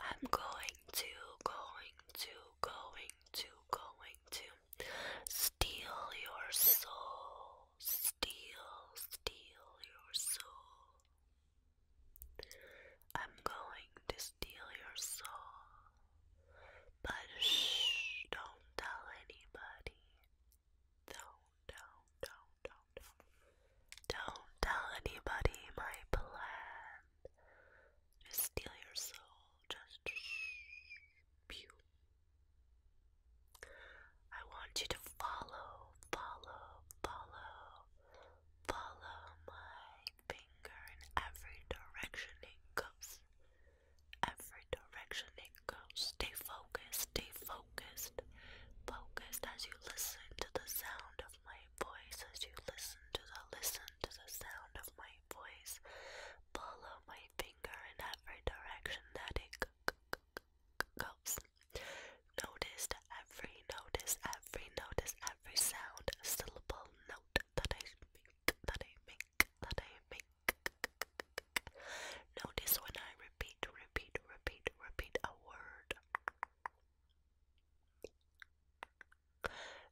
I'm going to, going to, going to, going to steal your soul, steal, steal your soul. I'm going to steal your soul, but shh, don't tell anybody. Don't, don't, don't, don't, don't. Don't tell anybody my plan. Just steal your soul. Just shh. Pew. I want you to follow, follow, follow, follow my finger in every direction it goes every direction it goes. Stay focused, stay focused, focused as you listen to the sound of my voice, as you listen to the listen to the sound of my voice. Follow my finger in every direction that it goes. Notice every notice, every notice, every sound, syllable, note that I make, that I make. Notice when I repeat, repeat, repeat, repeat a word.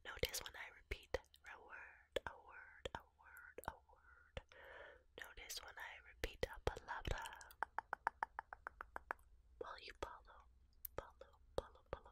Notice when I repeat a word, a word, a word, a word. Notice when I repeat a palabra. While you follow, follow, follow, follow,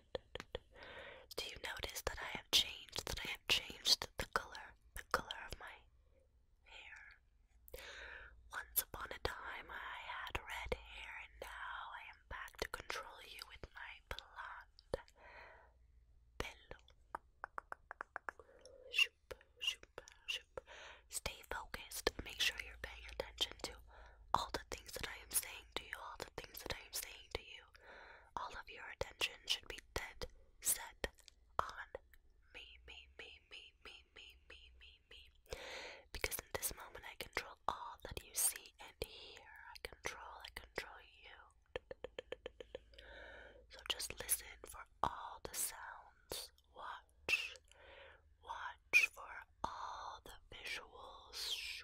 Do you notice that I have changed, that I have changed the color, the color of my hair? Once upon a time I had red hair and now I am back to control you with my blonde pillow. Shoop, shoop, shoop. Stay focused. Make sure you're paying attention to all the things that I am saying to you, all the things that I am saying to you all of your attention should be dead set on me, me, me, me, me, me, me, me, me. Because in this moment I control all that you see and hear. I control, I control you. So just listen for all the sounds. Watch. Watch for all the visuals.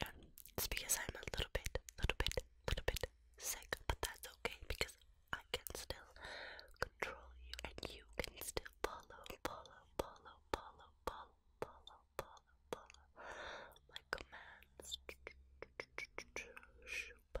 and it's because I'm a little bit, little bit, little bit sick, but that's okay because I can still control you and you can still follow, follow, follow, follow, follow, follow, follow, follow my commands. Shoop